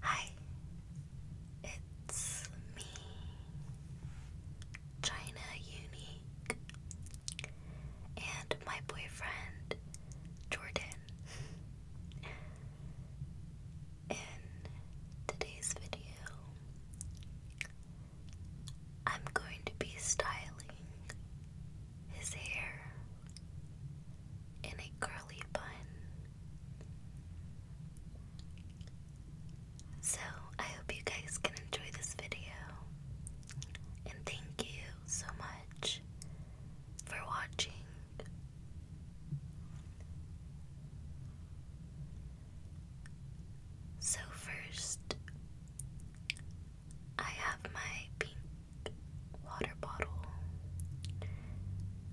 Hi, it's me, China Unique, and my boyfriend, Jordan. In today's video, I'm going to be styling his hair in a curly bun. So, I hope you guys can enjoy this video. And thank you so much for watching. So, first, I have my water bottle,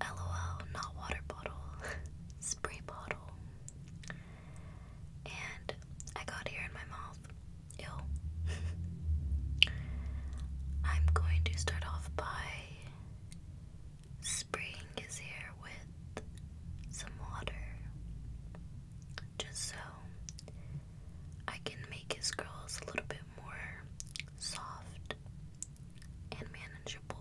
lol, not water bottle, spray bottle, and I got hair in my mouth. Ew. I'm going to start off by spraying his hair with some water. Just so I can make his curls a little bit more soft and manageable.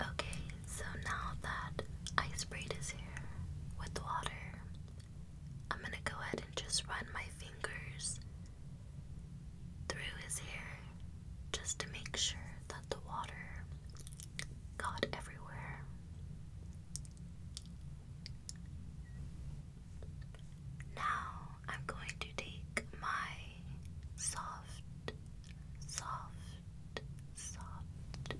Okay, so now that ice braid is here with water, I'm gonna go ahead and just run my fingers through his hair just to make sure that the water got everywhere. Now I'm going to take my soft, soft, soft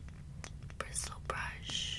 bristle brush.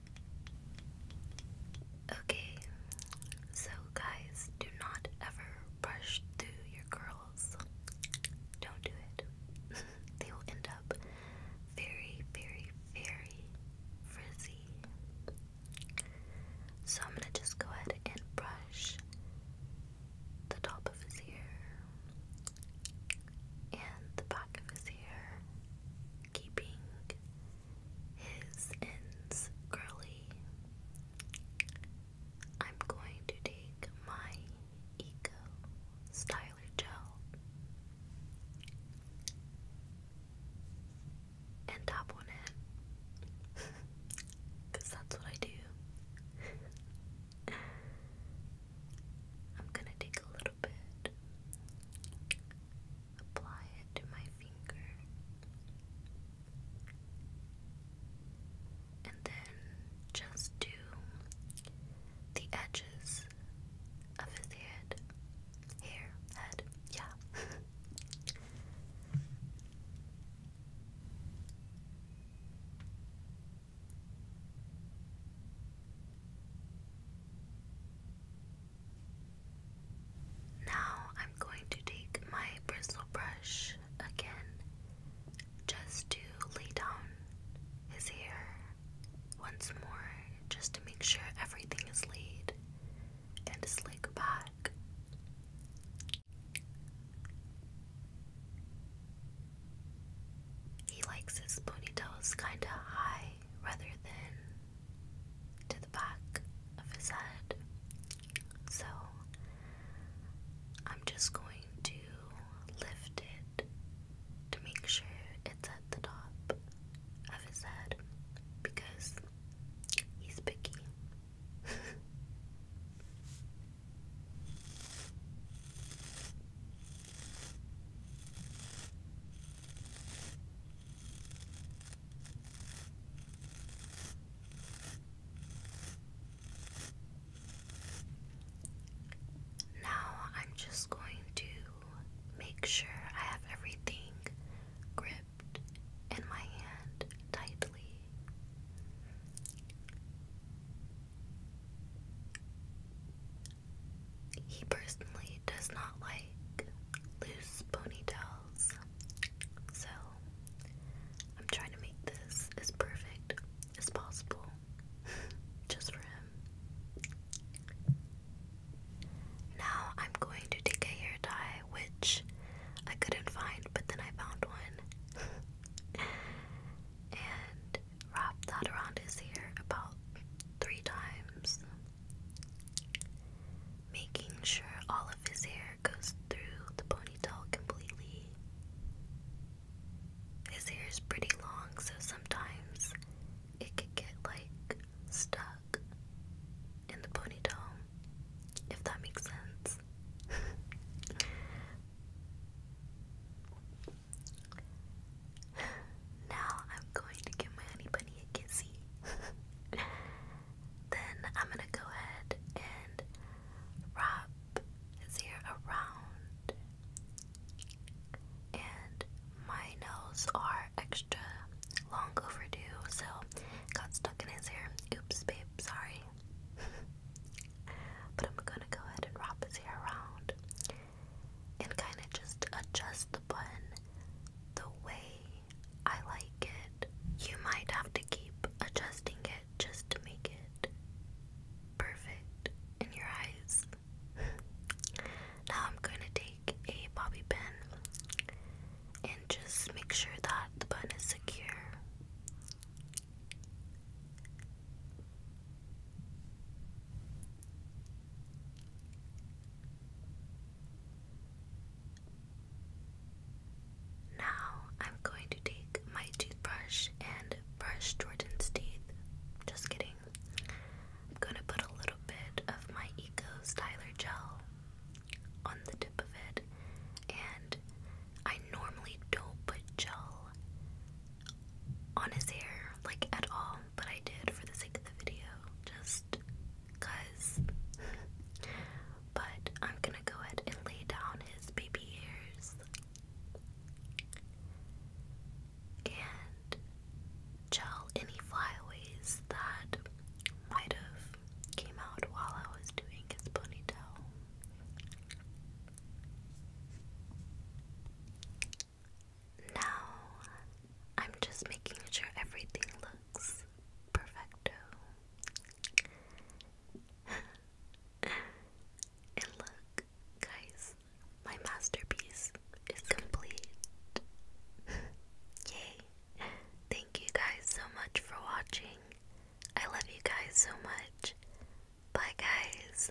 Okay, so guys, do not ever brush through your curls. Don't do it. they will end up very, very, very frizzy. So I'm gonna just go ahead and brush the top of his ear and the back of his ear keeping his ends curly, I'm going to take my Eco Styler Gel and tap on it because that's what I do. I'm gonna take a little bit apply it to my finger, and then just do the edges of his head, hair, head, yeah. Now I'm going to take my bristle brush again just to lay down his hair once more just to make sure everything is laid and slick back. He likes his ponytails kind of high rather than to the back of his head. So I'm just going to lift it to make sure it's at the top of his head because he's picky. Now I'm just going to make sure I have everything gripped in my hand tightly. He personally does not like loose ponytails, so I'm trying to make this as perfect as possible just for him. Now I'm going to take a hair dye, which I couldn't find, but then I found one. and wrap that around his hair about three times making sure all of his hair goes through the ponytail completely. His hair is pretty long, so sometimes it could get like stuck in the ponytail, if that makes sense. Now I'm going to give my honey bunny a kissy. then I'm gonna go ahead and wrap his ear around. And my nails are extra long overdue, so got stuck in his hair. Oops, babe, sorry. but I'm gonna go ahead and wrap his hair around and kind of just adjust the button the way I like it. You might have to keep adjusting it just to make it perfect in your eyes. now I'm going to take a bobby pin and just make sure that the button is secure. Now I'm going to take my toothbrush and brush Jordan's teeth. Just kidding. I'm going to put a little bit of my Eco Styler Gel on the tip of it. And I normally don't put gel on his hair, like at all but I did for the sake of the video, just cuz. but I'm gonna go ahead and lay down his baby ears and gel any flyaways that might have came out while I was doing his ponytail. Now, I'm just making sure everything looks perfecto. and look, guys, my masterpiece is complete. Yay! Thank you guys so much for watching. I love you guys so much. Bye, guys.